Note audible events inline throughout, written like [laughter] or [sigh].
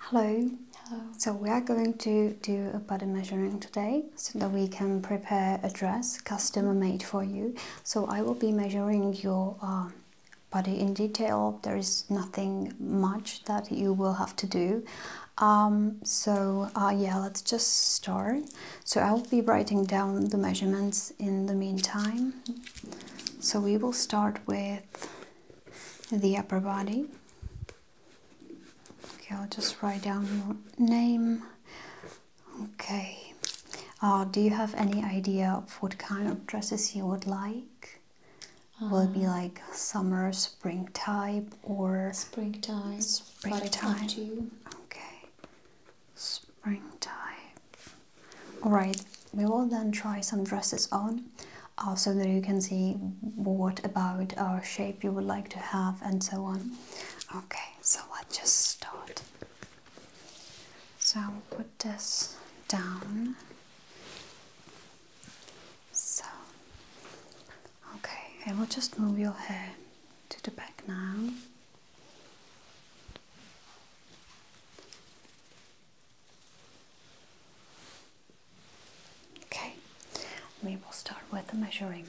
Hello. Hello. So we are going to do a body measuring today so that we can prepare a dress customer made for you. So I will be measuring your uh, body in detail. There is nothing much that you will have to do. Um, so uh, yeah, let's just start. So I'll be writing down the measurements in the meantime. So we will start with the upper body. Okay, I'll just write down your name. Okay. Uh, do you have any idea of what kind of dresses you would like? Will be uh, like summer, spring type, or spring type? Spring type. Okay. Springtime. all right we will then try some dresses on uh, so that you can see what about our shape you would like to have and so on okay so let's just start so I'll put this down so okay I will just move your hair to the back now Okay, we will start with the measuring.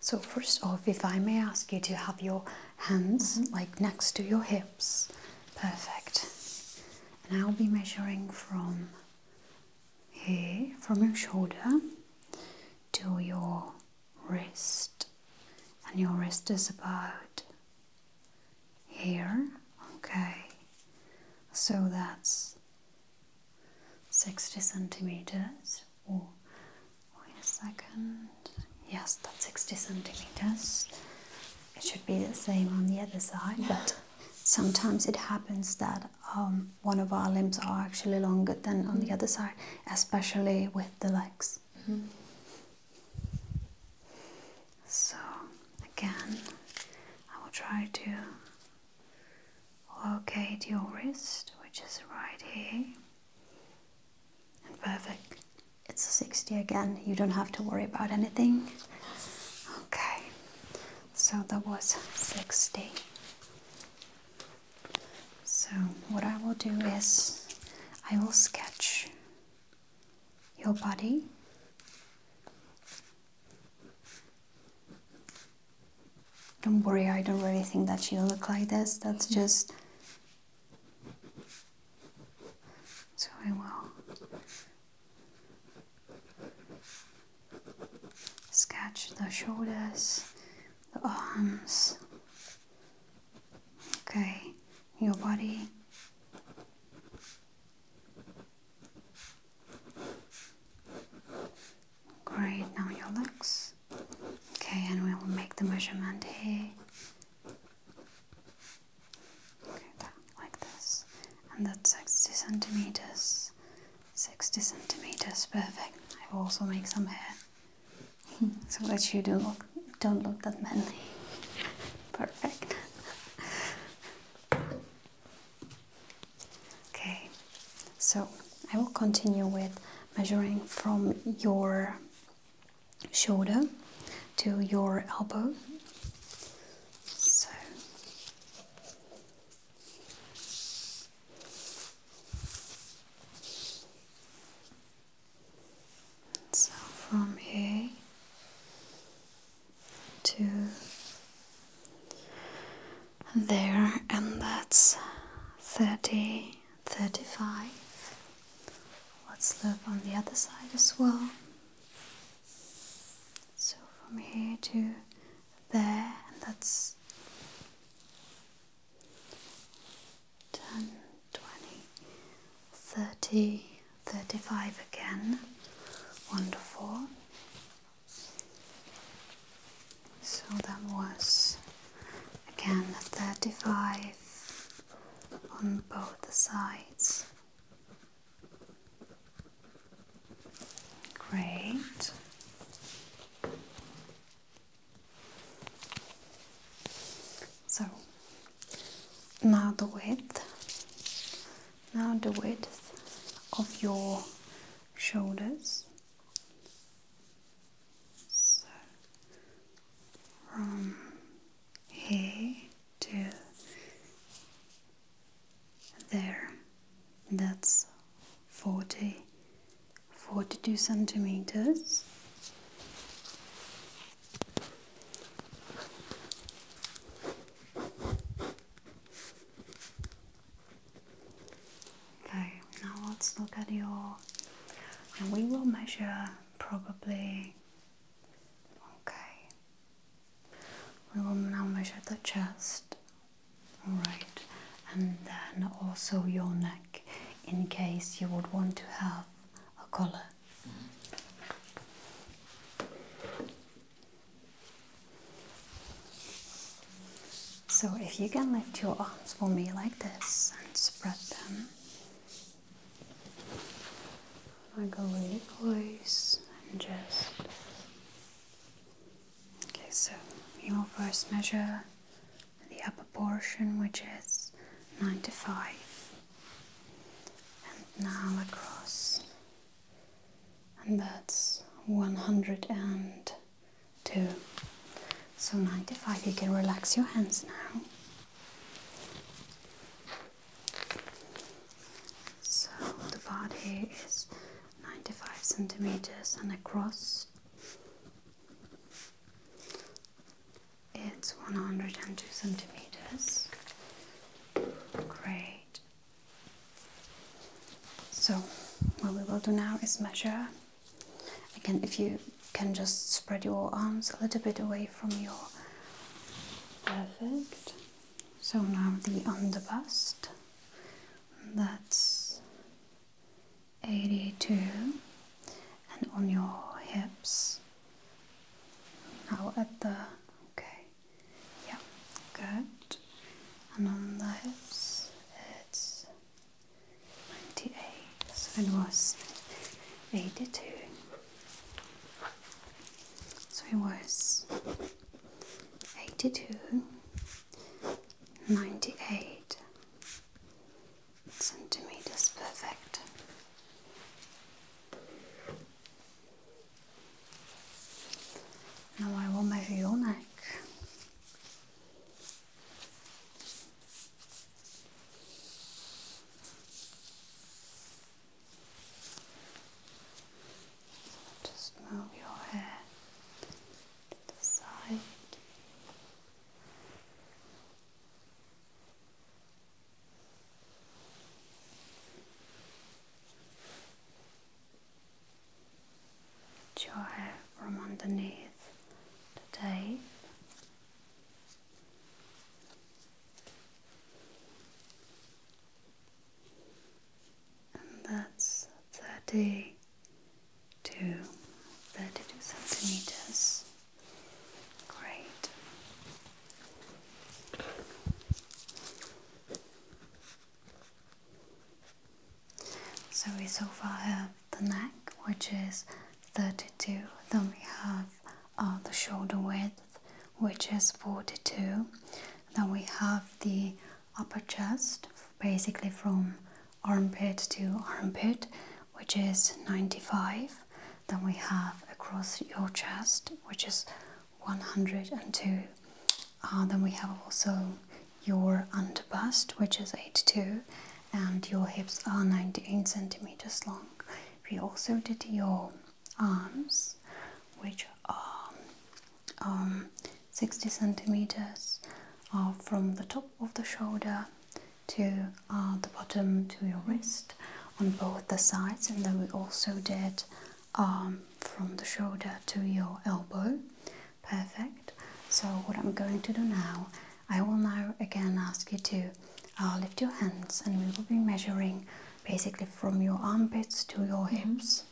So, first off, if I may ask you to have your hands mm-hmm. like next to your hips, perfect. And I'll be measuring from here from your shoulder to your wrist, and your wrist is about here, okay? So that's 60 centimeters. Or wait a second, yes, that's 60 centimeters. It should be the same on the other side, but sometimes it happens that um, one of our limbs are actually longer than on the mm. other side, especially with the legs. Mm-hmm. So, again, I will try to locate your wrist, which is right here. perfect. It's 60 again, you don't have to worry about anything. Okay, so that was 60. So, what I will do is I will sketch your body. Don't worry, I don't really think that you look like this. That's just. So I will Sketch the shoulders, the arms, okay, your body. Great, now your legs. Okay, and we will make the measurement here. like this, and that's 60 centimeters. 60 centimeters, perfect. I will also make some hair [laughs] so that you don't look, don't look that manly. Perfect. [laughs] okay, so I will continue with measuring from your shoulder to your elbow. So so from here to there, and that's 30, 35. Let's look on the other side as well. So from here to there, and that's 10, 30, 35 again. Wonderful. So that was again 35 on both the sides. Great. So now the width. Now the width of your shoulders. So from here to there that's 40 42 centimeters okay now let's look at your and we will measure probably okay we will now measure the chest all right, and then also your neck in case you would want to have a collar. So, if you can lift your arms for me like this and spread them, I go really close and just Okay, so you will first measure the upper portion, which is 95, and now across, and that's 102. So 95, you can relax your hands now. So the body is 95 centimeters and across it's 102 centimeters. Great. So, what we will do now is measure. Again, if you can just spread your arms a little bit away from your. Perfect. So now the under bust that's 82 and on your hips now at the okay yeah good and on the hips it's 98 so it was 82 so it was 82 98 centimeters perfect. Now I will measure your neck. Just move your hair to the side. Get your from underneath the tape that's 30 centimeters. Great. So we so far have the neck, which is 32. Then we have uh, the shoulder width, which is 42. Then we have the upper chest, basically from armpit to armpit, which is 95. Then we have across your chest, which is 102. Uh, then we have also your under bust, which is 82, and your hips are 98 centimeters long. We also did your arms, which are um, 60 centimeters from the top of the shoulder to uh, the bottom to your wrist on both the sides and then we also did um, from the shoulder to your elbow perfect so what I'm going to do now I will now again ask you to uh, lift your hands and we will be measuring basically from your armpits to your hips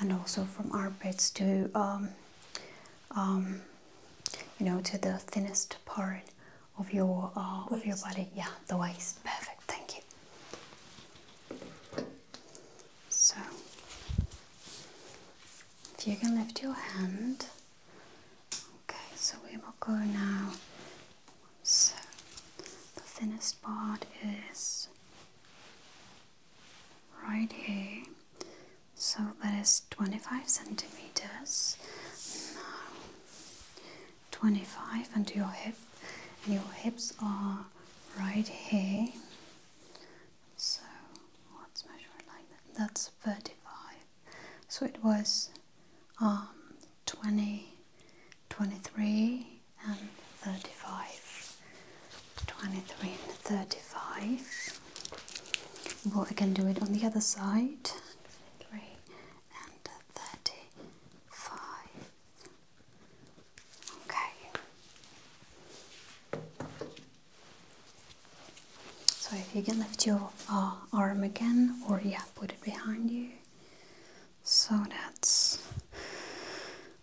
and also from armpits to um, um, you know to the thinnest part of your uh, of your body. Yeah, the waist. Perfect. Thank you. So, if you can lift your hand. Okay, so we will go now. So, the thinnest part is right here. So that is 25 centimeters. Now 25 and your hip and your hips are right here. So let's measure like that. That's 35. So it was um 20 and 35 23 and 35 but I can do it on the other side 23 and 35 okay so if you can lift your uh, arm again or yeah put it behind you so that's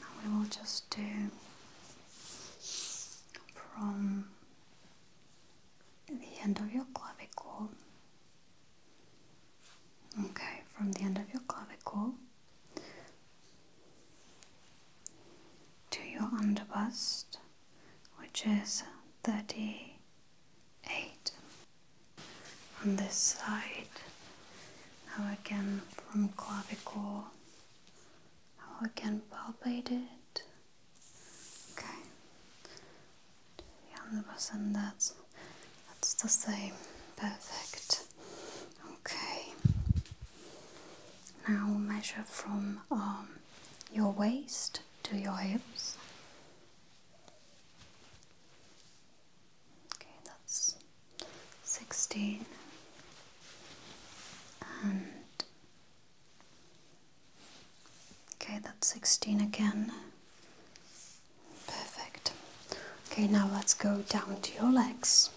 Now we will just do from the end of your clavicle. Okay, from the end of your clavicle to your underbust, which is 38. On this side, now again from clavicle, how again palpate it. Okay, hundred percent. That's that's the same. Perfect. Okay. Now measure from um, your waist to your hips. Okay, that's 16 and okay, that's 16 again. Perfect. Okay, now let's go down to your legs.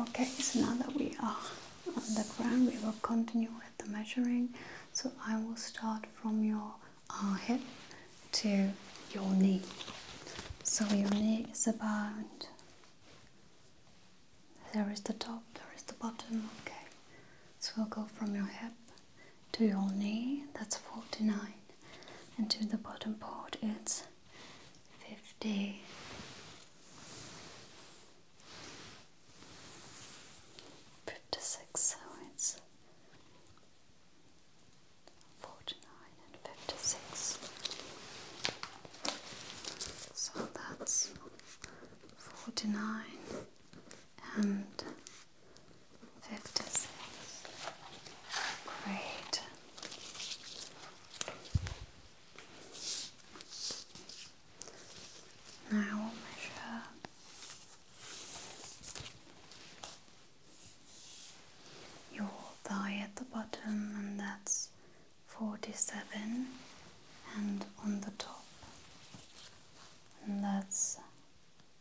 Okay, so now that we are on the ground, we will continue with the measuring. So I will start from your uh, hip to your knee. So your knee is about there is the top, there is the bottom, okay. So we'll go from your hip to your knee, that's 49, and to the bottom part, it's 50 fifty six, so it's forty nine and fifty six. So that's forty nine and fifty six. Great. Now we'll measure your thigh at the bottom, and that's 47, and on the top, and that's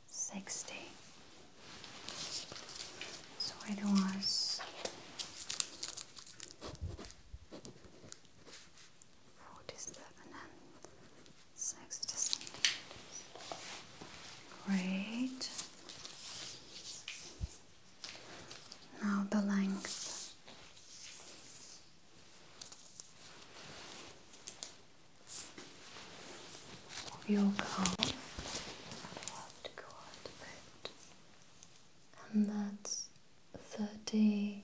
60. So it was 47 and 67 great now the length of your calf will have and that's 30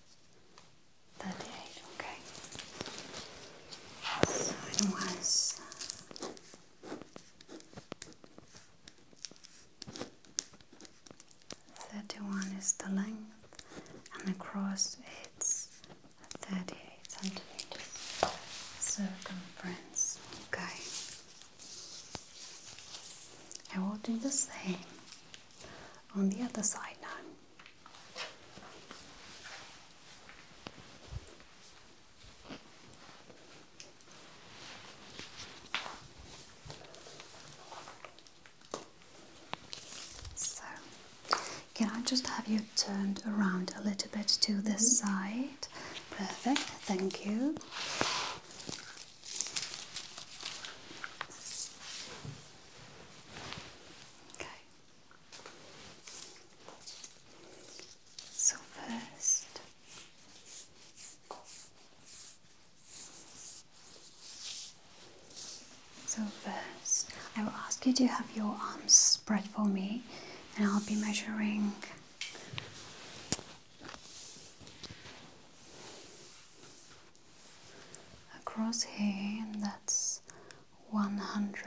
38, okay. So it was thirty one is the length and across it's thirty eight centimeters circumference, okay. I will do the same on the other side now. So, can I just have you turned around a little bit to this mm-hmm. side? Perfect, thank you. So first. So first, I will ask you to have your arms spread for me, and I'll be measuring across here and that's 100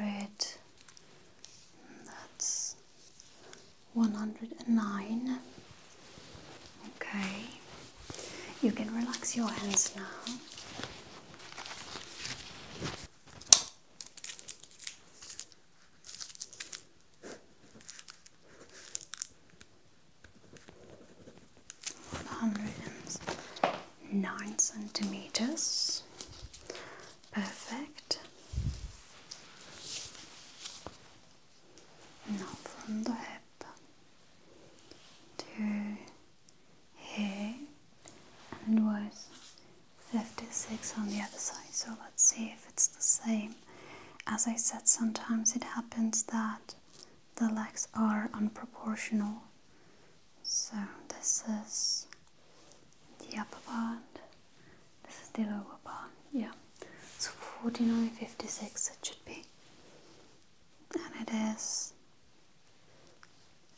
that's 109 okay you can relax your hands now 109 centimeters. Perfect. Now from the hip to here and was 56 on the other side. So let's see if it's the same. As I said, sometimes it happens that the legs are unproportional so this is the upper part this is the lower part yeah so 4956 it should be and it is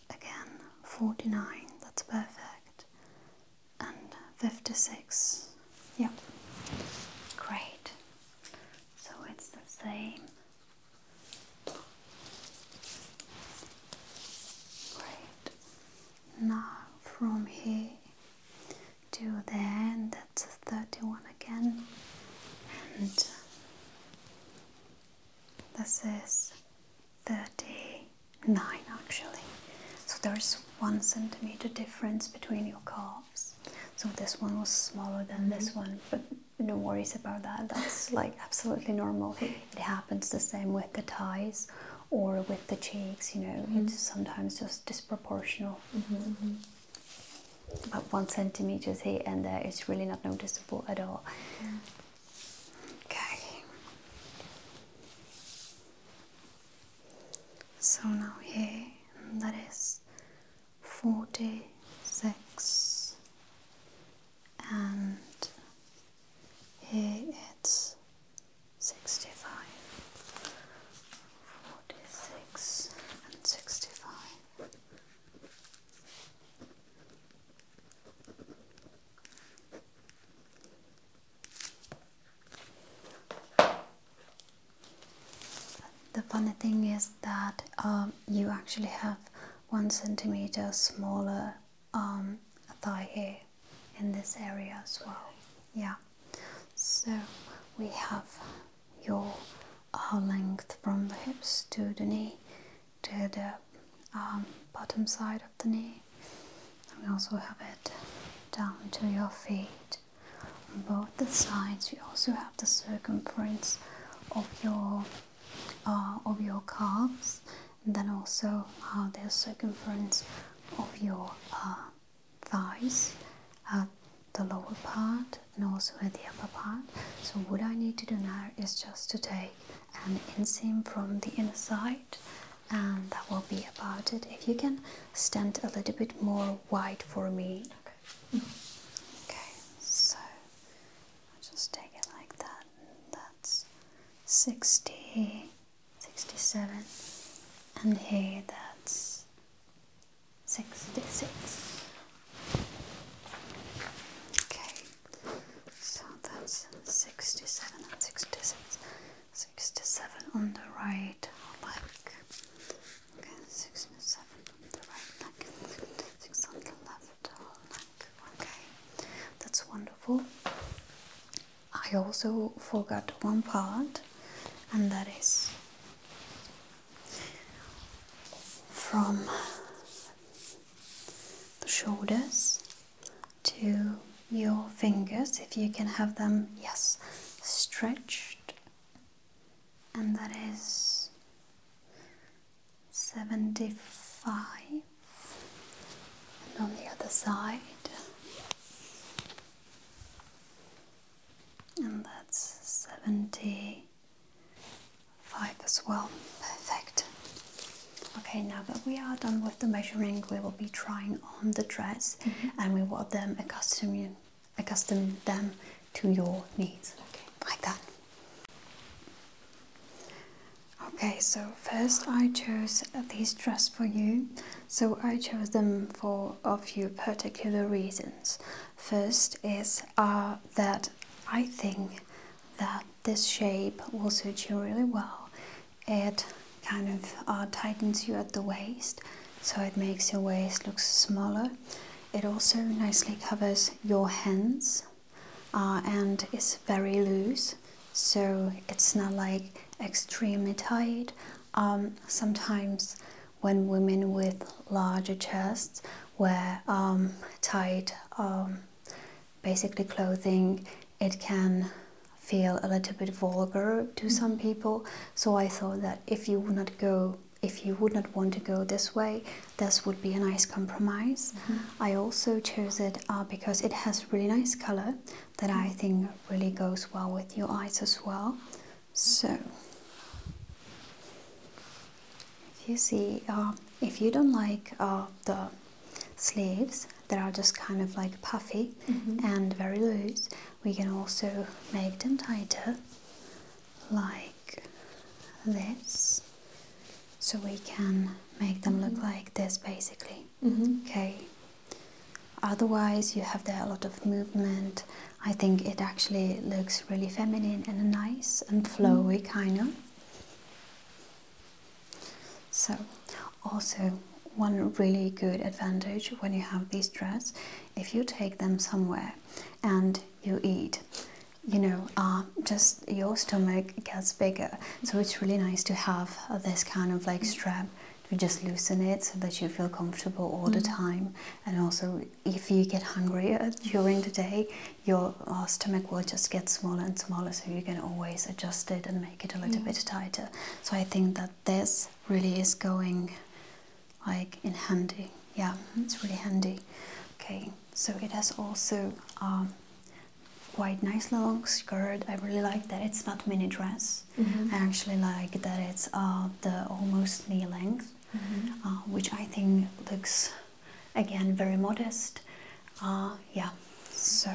again 49 that's perfect and 56 Yep. great so it's the same. Great. Now from here to the end, that's 31 again, and this is 39 actually. So there's one centimeter difference between your card. So this one was smaller than this mm-hmm. one, but no worries about that. That's [laughs] like absolutely normal. It happens the same with the ties or with the cheeks, you know, it's mm-hmm. sometimes just disproportional. Mm mm-hmm, About one centimeter here and there, it's really not noticeable at all. Okay. So now here, that is forty six, and here it's sixty-five. Forty-six and sixty five. The funny thing is that um, you actually have one centimeter smaller um, thigh hair in this area as well. Yeah, so we have your uh, length from the hips to the knee to the um, bottom side of the knee. And we also have it down to your feet on both the sides you also have the circumference of your uh, of your calves and then also uh, the circumference of your uh, thighs at the lower part and also at the upper part so what I need to do now is just to take an inseam from the inside, and that will be about it if you can stand a little bit more white for me. Okay. Okay, so I'll just take it like that. that's 60, 67, and here that's 66. Okay, so that's 67 on the right, like Okay, six and seven right six on the left Okay, that's wonderful. I also forgot one part, and that is from the shoulders to your fingers, if you can have them, yes, stretched and that is 75 and on the other side and that's 75 as well perfect okay now that we are done with the measuring we will be trying on the dress mm-hmm. and we will then accustom you accustom them to your needs. Okay, like that. Okay, so first I chose these dresses for you. So I chose them for a few particular reasons. First is uh, that I think that this shape will suit you really well. It kind of uh, tightens you at the waist so it makes your waist look smaller. It also nicely covers your hands uh, and is very loose, so it's not like extremely tight. Um, sometimes when women with larger chests wear um, tight um, basically clothing, it can feel a little bit vulgar to mm-hmm. some people. So I thought that if you would not go if you would not want to go this way, this would be a nice compromise. Mm-hmm. I also chose it uh, because it has really nice color that I mm-hmm. think really goes well with your eyes as well. So, if you see, uh, if you don't like uh, the sleeves that are just kind of like puffy mm-hmm. and very loose, we can also make them tighter like this so we can make them look mm-hmm. like this basically mm-hmm. okay otherwise you have there a lot of movement i think it actually looks really feminine and nice and flowy mm-hmm. kind of so also one really good advantage when you have this dress if you take them somewhere and you eat, you know, um, just your stomach gets bigger. So it's really nice to have this kind of like strap to just loosen it so that you feel comfortable all the mm-hmm. time. And also, if you get hungrier uh, during the day, your uh, stomach will just get smaller and smaller. So you can always adjust it and make it a little bit tighter. So I think that this really is going like in handy. Yeah, it's really handy. Okay, so it has also um, quite nice long skirt. I really like that it's not mini dress. Mm-hmm. I actually like that it's uh, the almost knee length, mm-hmm. uh, which I think looks again very modest. Uh, yeah, so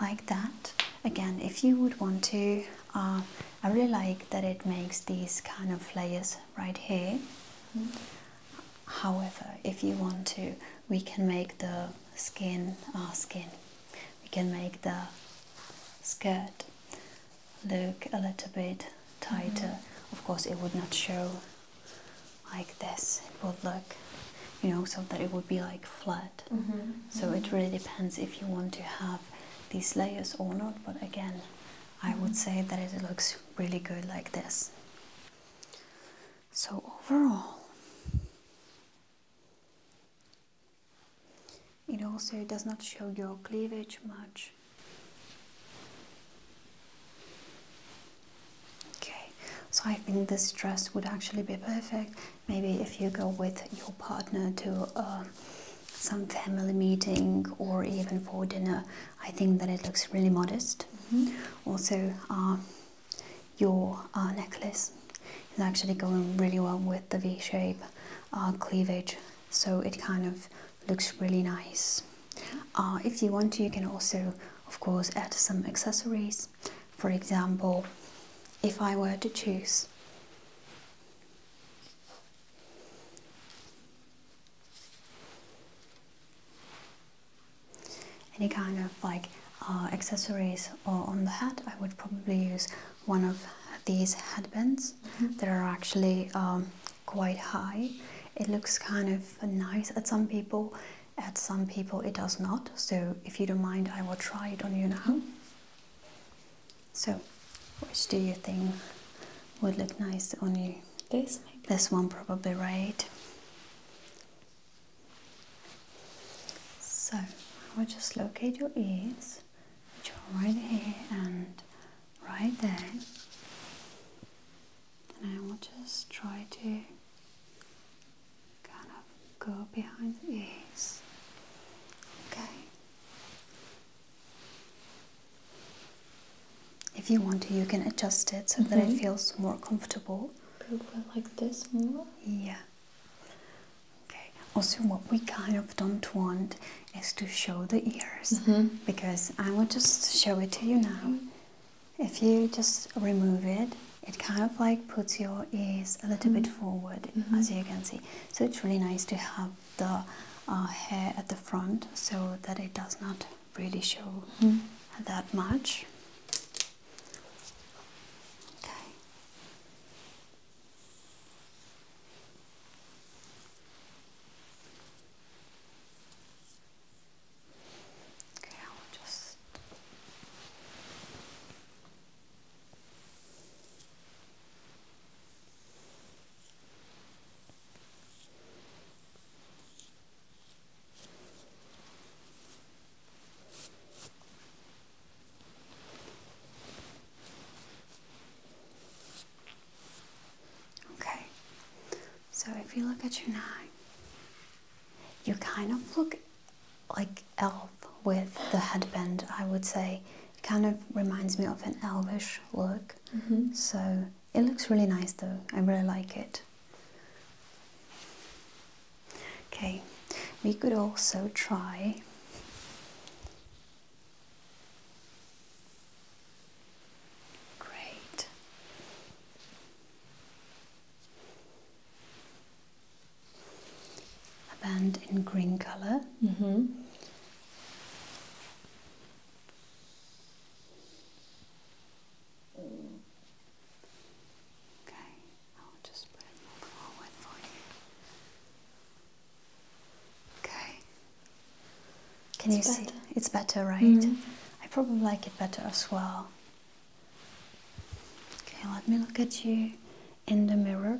like that. Again, if you would want to uh, I really like that it makes these kind of layers right here. However, if you want to, we can make the skin our skin. We can make the skirt look a little bit tighter. Mm-hmm. Of course, it would not show like this. It would look, you know, so that it would be like flat. Mm-hmm. So it mm-hmm. really depends if you want to have these layers or not. But again, I would say that it looks really good like this. So overall, it also does not show your cleavage much. Okay, so I think this dress would actually be perfect. Maybe if you go with your partner to uh, some family meeting or even for dinner, I think that it looks really modest. Mm-hmm. Also, uh, your uh, necklace is actually going really well with the V shape uh, cleavage, so it kind of looks really nice. if you want to, you can also, of course, add some accessories. For example, if I were to choose any kind of like uh, accessories or on the hat, I would probably use one of these headbands mm that are actually um, quite high. It looks kind of nice at some people, at some people it does not. So if you don't mind, I will try it on you now. Mm-hmm. So, which do you think would look nice on you? This, one, probably, right? So, I will just locate your ears, which are right here and right there. And I will just try to kind of go behind the ears. Okay. If you want to, you can adjust it so that it mm-hmm. feels more comfortable. Probably like this more? Yeah. Okay. Also, what we kind of don't want is to show the ears mm-hmm. because I will just show it to you now. Mm-hmm. If you just remove it, it kind of like puts your ears a little bit forward as you can see so it's really nice to have the uh, hair at the front so that it does not really show mm-hmm. that much. Okay. Okay, I'll just Okay, so if you look at your nine, you kind of look like elf with the headband, I would say kind of reminds me of an elvish look. Mm-hmm. So it looks really nice though. I really like it. Okay, we could also try Great. A band in green color. Mm-hmm. Okay, I'll just put it more for you. Okay. Can it's you better. see? It's better, right? Mm-hmm. I probably like it better as well. Okay, let me look at you in the mirror.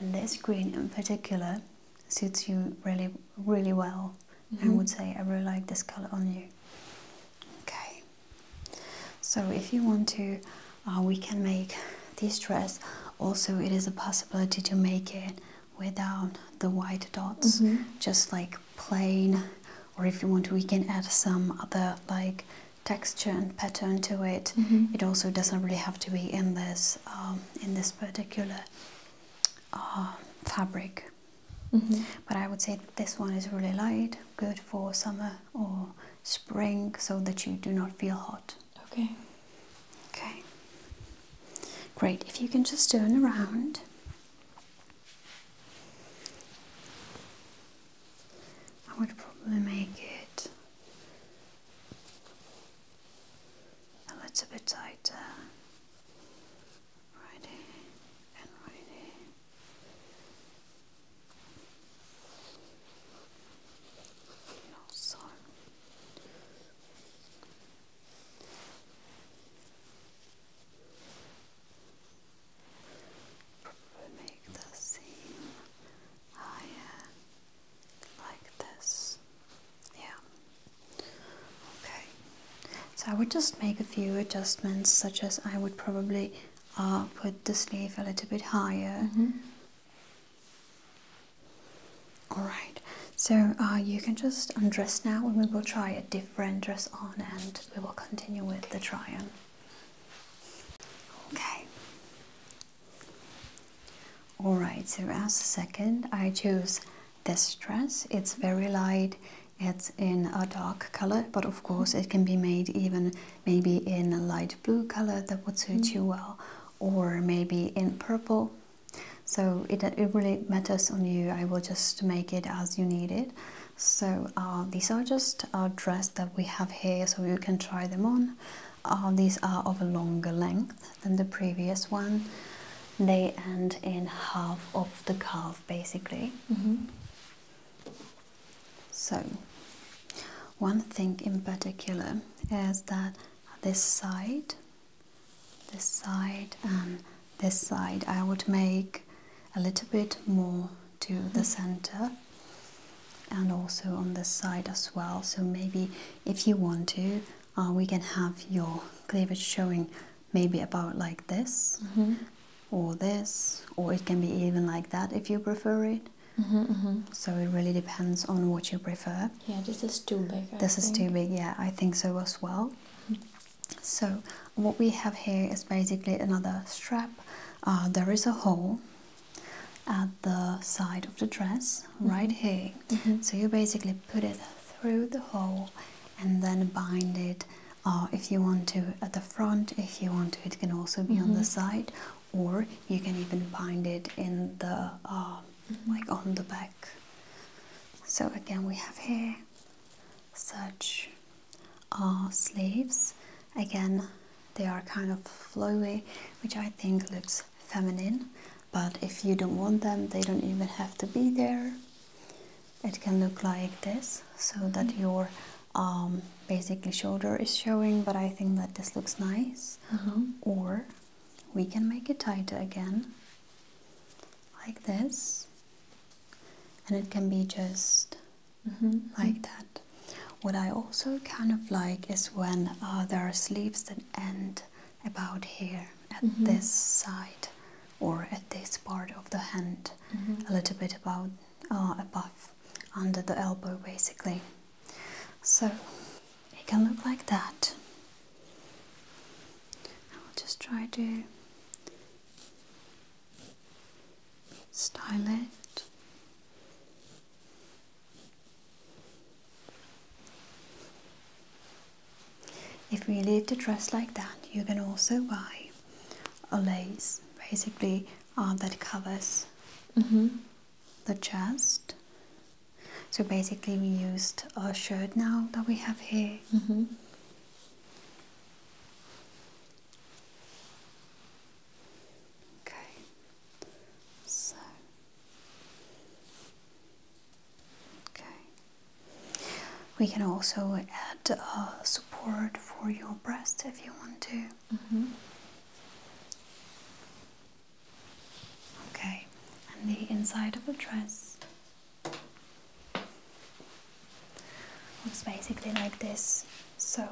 And this green in particular suits you really, really well. Mm mm-hmm. I would say I really like this color on you. Okay, so if you want to, uh, we can make this dress. Also, it is a possibility to make it without the white dots, mm-hmm. just like plain. Or if you want, we can add some other like texture and pattern to it. Mm-hmm. It also doesn't really have to be in this um, in this particular uh, fabric. Mm-hmm. But I would say this one is really light, good for summer or spring, so that you do not feel hot. Okay. Okay. Great. If you can just turn around. I would probably make it a little bit tighter. Right and right here. And Probably make the seam higher like this. Yeah. Okay. So I would just make a few adjustments, such as I would probably uh, put the sleeve a little bit higher. Mm-hmm. Alright, so uh, you can just undress now and we will try a different dress on and we will continue with the try on. Okay, Alright, so as second, I choose this dress. It's very light, it's in a dark color, but of course it can be made even maybe in a light blue color that would suit mm. you well, or maybe in purple. So it, it really matters on you. I will just make it as you need it. So uh, these are just our uh, dress that we have here, so you can try them on. Uh, these are of a longer length than the previous one. They end in half of the calf basically. Mm-hmm. So, one thing in particular is that this side, this side, and um, this side I would make a little bit more to the mm. center and also on this side as well. So, maybe if you want to uh, we can have your cleavage showing maybe about like this mm-hmm. or this or it can be even like that if you prefer it mm-hmm, mm-hmm. so it really depends on what you prefer yeah this is too big this is too big yeah i think so as well so what we have here is basically another strap uh, there is a hole at the side of the dress, mm-hmm. right here. Mm-hmm. So you basically put it through the hole and then bind it. Uh, if you want to at the front, if you want to, it can also be on the mm-hmm. side, or you can even bind it in the uh, like on the back. So again, we have here such uh, sleeves. Again, they are kind of flowy, which I think looks feminine but if you don't want them they don't even have to be there it can look like this so that mm-hmm. your um, basically shoulder is showing but I think that this looks nice uh-huh. or we can make it tighter again like this and it can be just mm-hmm. like that what I also kind of like is when uh, there are sleeves that end about here at mm-hmm. this side or at this part of the hand mm-hmm. a little bit about uh, above under the elbow basically so it can look like that I'll just try to style it if we leave the dress like that, you can also buy a lace, basically uh, that covers mm-hmm. the chest. So basically, we used a shirt now that we have here. Mm-hmm. Okay. So Okay. We can also add uh, support for your breasts if you want to. Mm-hmm. Okay, and the inside of the dress looks basically like this. So,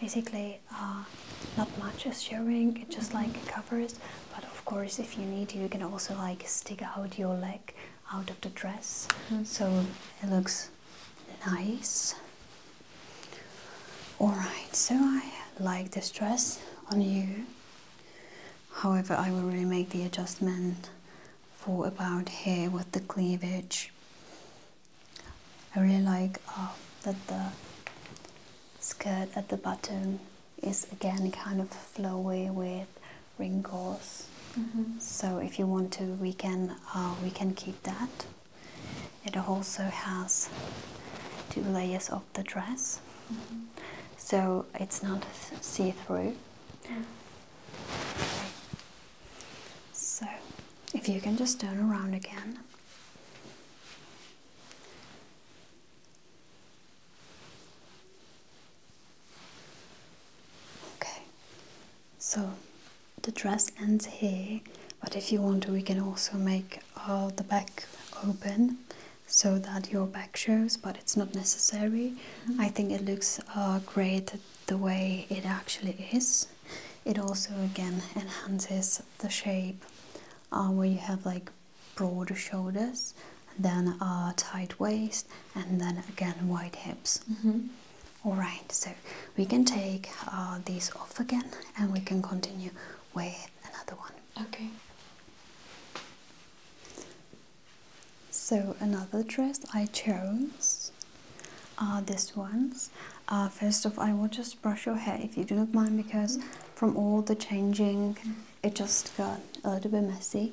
basically, uh, not much as your ring, it just like covers. But of course, if you need, you can also like stick out your leg out of the dress mm-hmm. so it looks nice. Alright, so I like this dress on you. However, I will really make the adjustment for about here with the cleavage. I really like uh, that the skirt at the bottom is again kind of flowy with wrinkles. Mm-hmm. So if you want to, we can uh, we can keep that. It also has two layers of the dress, mm-hmm. so it's not see through. Mm. So if you can just turn around again. Okay, so the dress ends here, but if you want, we can also make uh, the back open so that your back shows, but it's not necessary. Mm-hmm. I think it looks uh, great the way it actually is. It also again enhances the shape uh, where you have like broader shoulders, then uh, tight waist, and then again wide hips. Mm-hmm. All right, so we can take uh, these off again, and we can continue with another one. Okay. So another dress I chose are uh, these ones. Uh, first of all, I will just brush your hair if you do not mind because from all the changing it just got a little bit messy.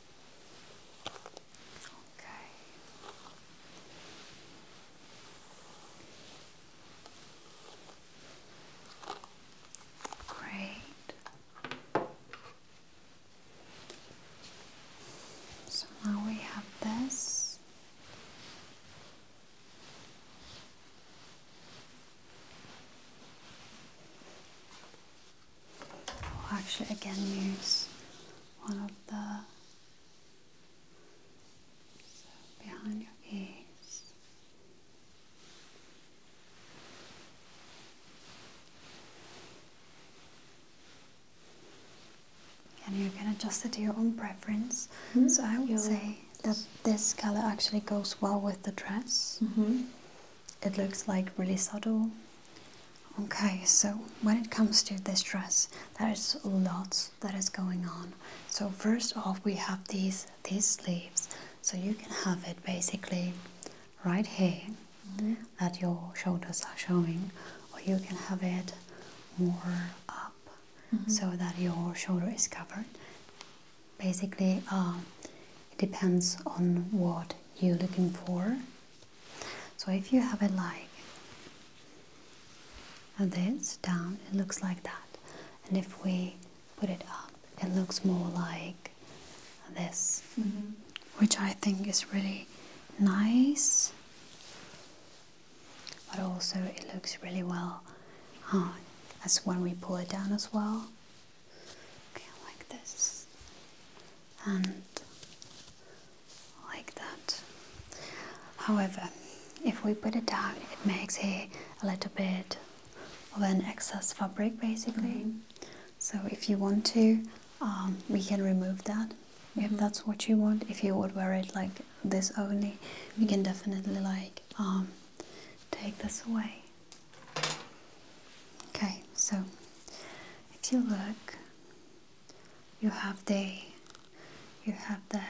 Great. So now we have this. Oh, actually, again, use one of the behind your ears. And you can adjust it to your own preference. Mm-hmm. So I would say that this color actually goes well with the dress. Mm-hmm it looks like really subtle okay so when it comes to this dress there is a lot that is going on so first off we have these these sleeves so you can have it basically right here mm that your shoulders are showing or you can have it more up mm-hmm. so that your shoulder is covered basically um, it depends on what you're looking for. So if you have it like this down, it looks like that. And if we put it up, it looks more like this, mm-hmm. which I think is really nice. But also it looks really well uh, as when we pull it down as well like this and like that. However, if we put it down, it makes here a little bit of an excess fabric basically. Mm-hmm. So, if you want to, um, we can remove that if mm-hmm. that's what you want. If you would wear it like this only, we can definitely like um, take this away. Okay, so if you look, you have the you have the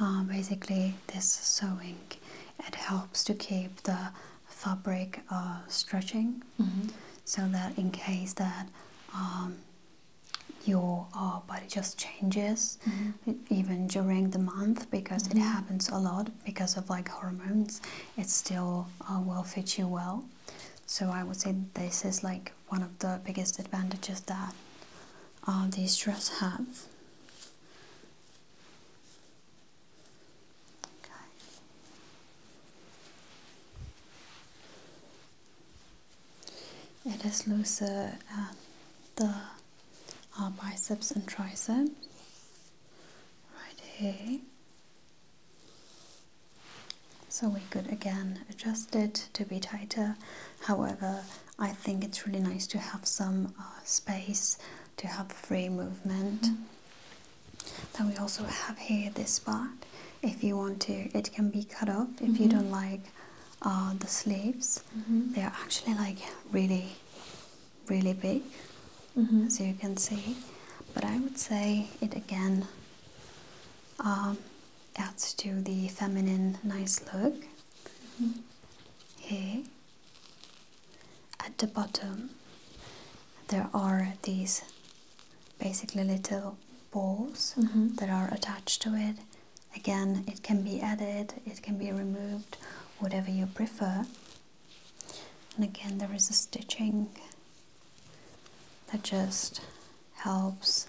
um, basically this sewing. It helps to keep the fabric uh, stretching, mm-hmm. so that in case that um, your uh, body just changes mm-hmm. even during the month because it mm-hmm. happens a lot because of like hormones it's still uh, will fit you well. So I would say this is like one of the biggest advantages that uh, these dresses have. Okay. It is looser the uh, biceps and triceps, right here, so we could again adjust it to be tighter. However, I think it's really nice to have some uh, space to have free movement. Mm-hmm. Then we also have here this part. If you want to, it can be cut off if you mm-hmm. don't like uh, the sleeves. Mm-hmm. They are actually like really really big, mm-hmm. as you can see. But I would say it again um, adds to the feminine, nice look. Mm Here, at the bottom, there are these basically little balls mm-hmm. that are attached to it. Again, it can be added, it can be removed, whatever you prefer. And again, there is a stitching that just helps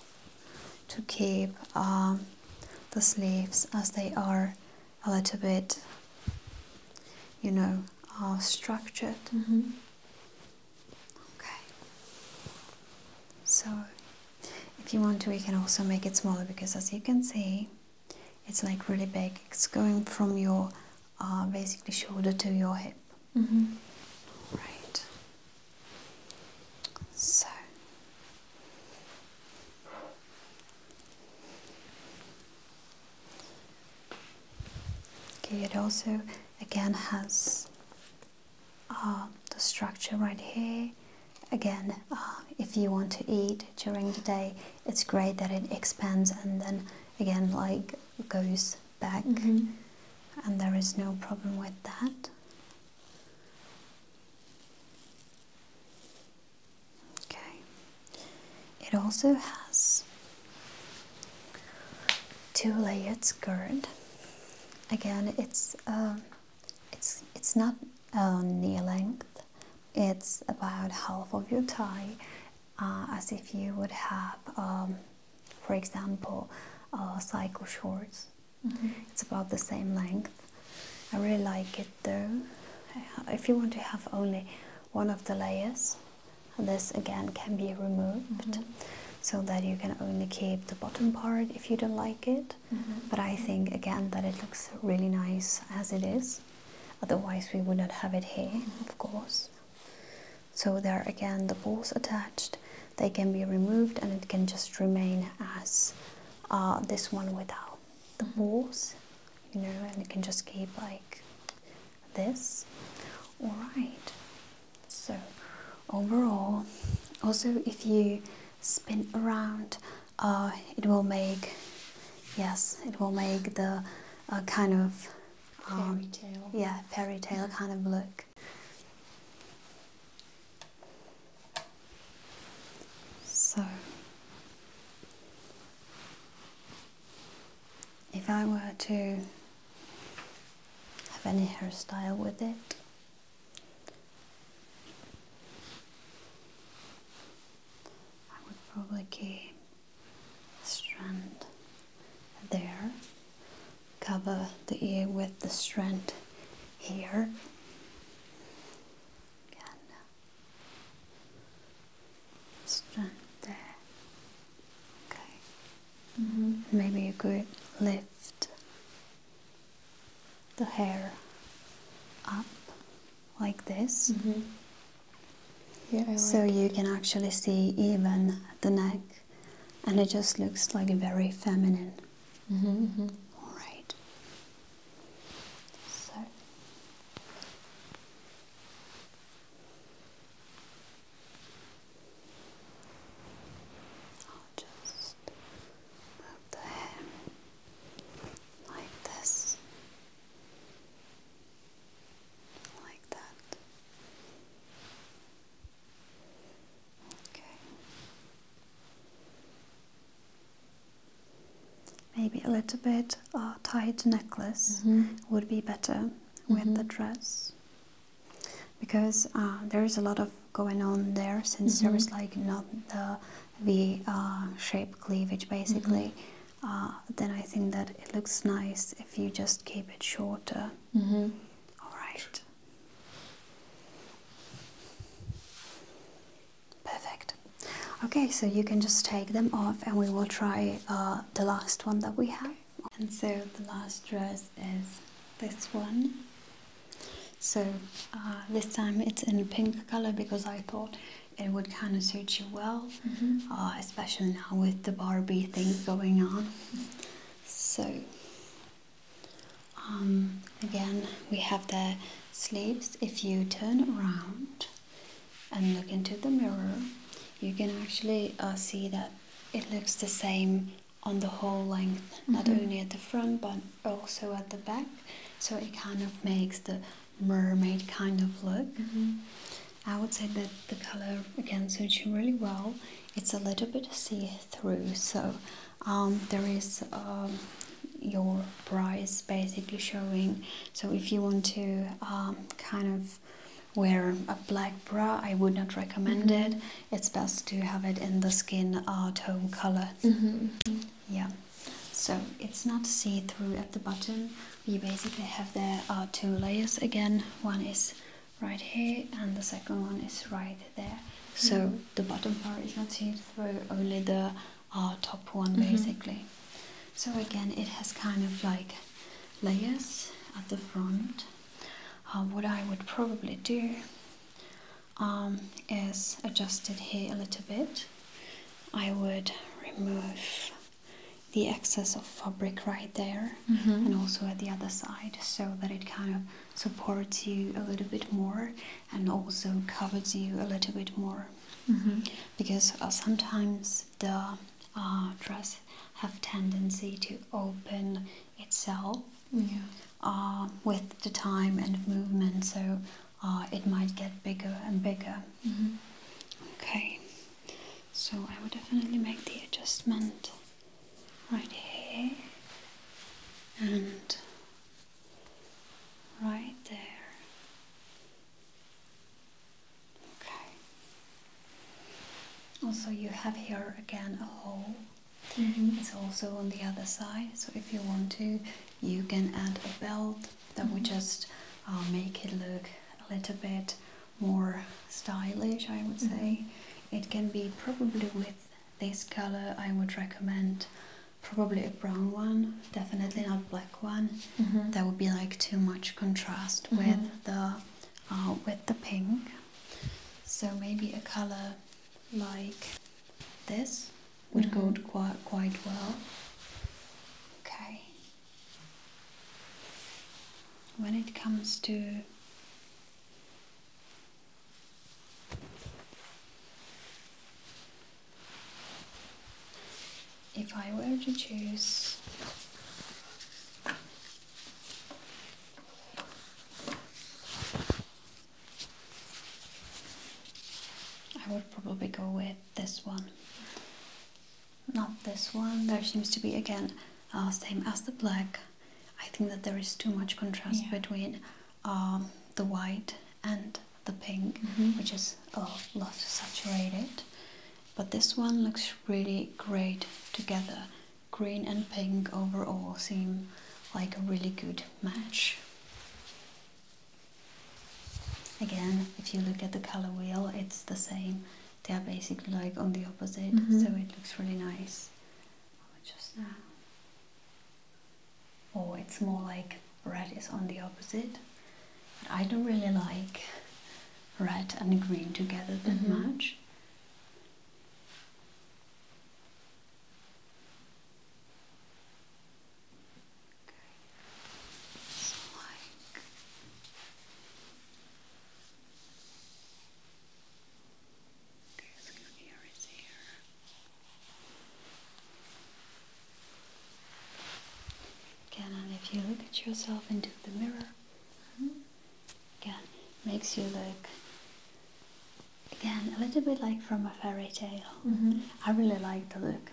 to keep um, the sleeves as they are a little bit, you know, uh, structured. Mm-hmm. Okay. So, if you want to, we can also make it smaller because, as you can see, it's like really big. It's going from your uh, basically shoulder to your hip. Mm-hmm. Right. So. Okay, it also again has uh, the structure right here. Again, uh, if you want to eat during the day, it's great that it expands and then again, like goes back, mm-hmm. and there is no problem with that. Okay, it also has two layered skirt. Again, it's uh, it's it's not knee uh, length. It's about half of your thigh. Uh, as if you would have, um, for example, cycle shorts. Mm-hmm. It's about the same length. I really like it though. If you want to have only one of the layers, this again can be removed. Mm-hmm. So that you can only keep the bottom part if you don't like it. Mm-hmm. But I think again that it looks really nice as it is. Otherwise, we would not have it here, of course. So there again the balls attached, they can be removed and it can just remain as uh, this one without the balls, you know, and it can just keep like this. Alright, so overall, also if you spin around, uh, it will make, yes, it will make the uh, kind of um, yeah, fairy tale kind of look. So, if I were to have any hairstyle with it, I would probably keep strand there cover the ear with the strand here and uh, strand there okay mm-hmm. maybe you could lift the hair up like this mm-hmm so you can actually see even the neck, and it just looks like very feminine. Mm-hmm, mm-hmm. All right. So. I'll just move the hair like this like that. Okay. Maybe a little bit a tight necklace mm-hmm. would be better with the mm-hmm. dress because uh, there is a lot of going on there since there is mm-hmm. like not the V uh, shape cleavage basically. Uh, then I think that it looks nice if you just keep it shorter. Mm-hmm. All right. Perfect. Okay, so you can just take them off and we will try uh, the last one that we have. And so the last dress is this one. So uh, this time it's in pink color because I thought it would kind of suit you well, mm-hmm. uh, especially now with the Barbie thing going on. So, um, again, we have the sleeves. If you turn around and look into the mirror, you can actually uh, see that it looks the same on the whole length, not mm-hmm. only at the front but also at the back. So it kind of makes the mermaid kind of look. Mm-hmm. I would say that the color again suits you really well. It's a little bit see-through, so um, there is um, your bra is basically showing. So if you want to um, kind of wear a black bra, I would not recommend mm-hmm. it. It's best to have it in the skin uh, tone color. Mm-hmm, yeah. So it's not see-through at the bottom. We basically have there are two layers again one is right here and the second one is right there so mm-hmm. the bottom part is not seen through only the top one mm-hmm. basically so again it has kind of like layers at the front um, what i would probably do um, is adjust it here a little bit i would remove the excess of fabric right there mm-hmm. and also at the other side so that it kind of supports you a little bit more and also covers you a little bit more mm-hmm. because uh, sometimes the uh, dress have tendency to open itself uh, with the time and movement so it might get bigger and bigger mm-hmm. okay so I would definitely make the adjustment right here and right there. Okay. Also, you have here again a hole. Mm-hmm. It's also on the other side, so if you want to, you can add a belt that would just uh, make it look a little bit more stylish I would mm-hmm. say it can be probably with this color I would recommend probably a brown one definitely not black one mm-hmm. that would be like too much contrast mm-hmm. with the uh, with the pink so maybe a color like this would go quite quite well okay when it comes to if I were to choose I would probably go with this one not this one. There seems to be again uh, same as the black. I think that there is too much contrast between um, the white and the pink, mm-hmm. which is a lot saturated. But this one looks really great together. Green and pink overall seem like a really good match. Again, if you look at the color wheel, it's the same they are basically like on the opposite, mm-hmm. so it looks really nice. Oh, just Or oh, it's more like red is on the opposite. I don't really like red and green together that mm-hmm. much. Okay. So like Okay, so your here. Again, if you look at yourself into the mirror, hmm, again, makes you look again a little bit like from a fairy tale. Mm-hmm. I really like the look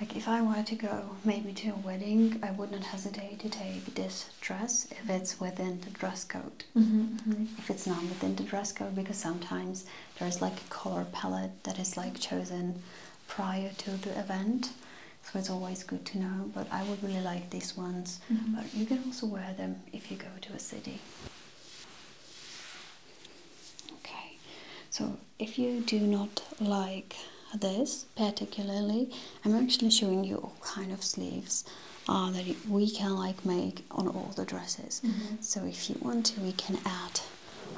like if I were to go maybe to a wedding, I would not hesitate to take this dress if it's within the dress code. Mm-hmm, mm-hmm. If it's not within the dress code, because sometimes there's like a color palette that is like chosen prior to the event, so it's always good to know. But I would really like these ones. Mm-hmm. But you can also wear them if you go to a city. Okay, so if you do not like this particularly i'm actually showing you all kind of sleeves that we can like make on all the dresses mm-hmm. so if you want to we can add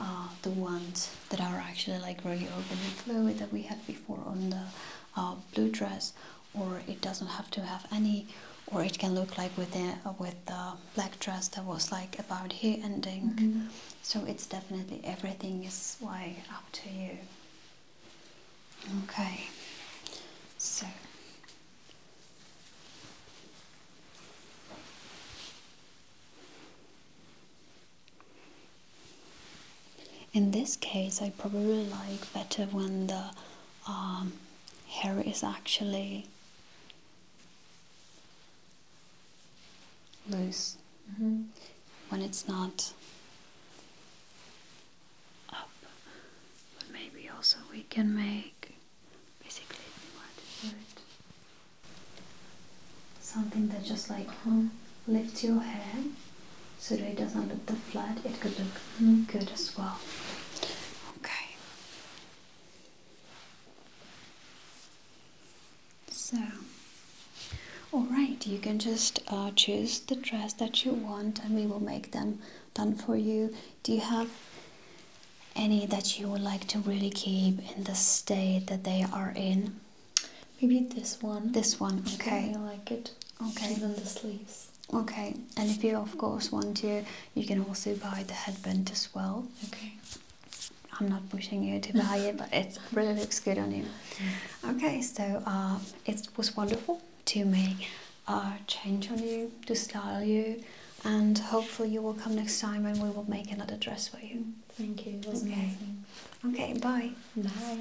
uh, the ones that are actually like really open and fluid that we had before on the uh, blue dress or it doesn't have to have any or it can look like with the with the black dress that was like about here ending mm-hmm. So it's definitely everything is way up to you. Okay, so in this case, I probably like better when the um, hair is actually loose mm-hmm. when it's not up. But maybe also we can make basically something that just like uh lifts your hair so that it doesn't look flat. It could look mm-hmm. good as well. Okay. So, alright, you can just uh, choose the dress that you want and we will make them done for you. Do you have any that you would like to really keep in the state that they are in? Maybe this one. This one, okay. You like it. Okay. Even the sleeves. Okay, and if you of course want to, you can also buy the headband as well. Okay. I'm not pushing you to buy it, but it really looks good on you. Okay, so uh, it was wonderful to make a change on you, to style you, and hopefully you will come next time and we will make another dress for you. Thank you. okay. Okay, bye. Bye.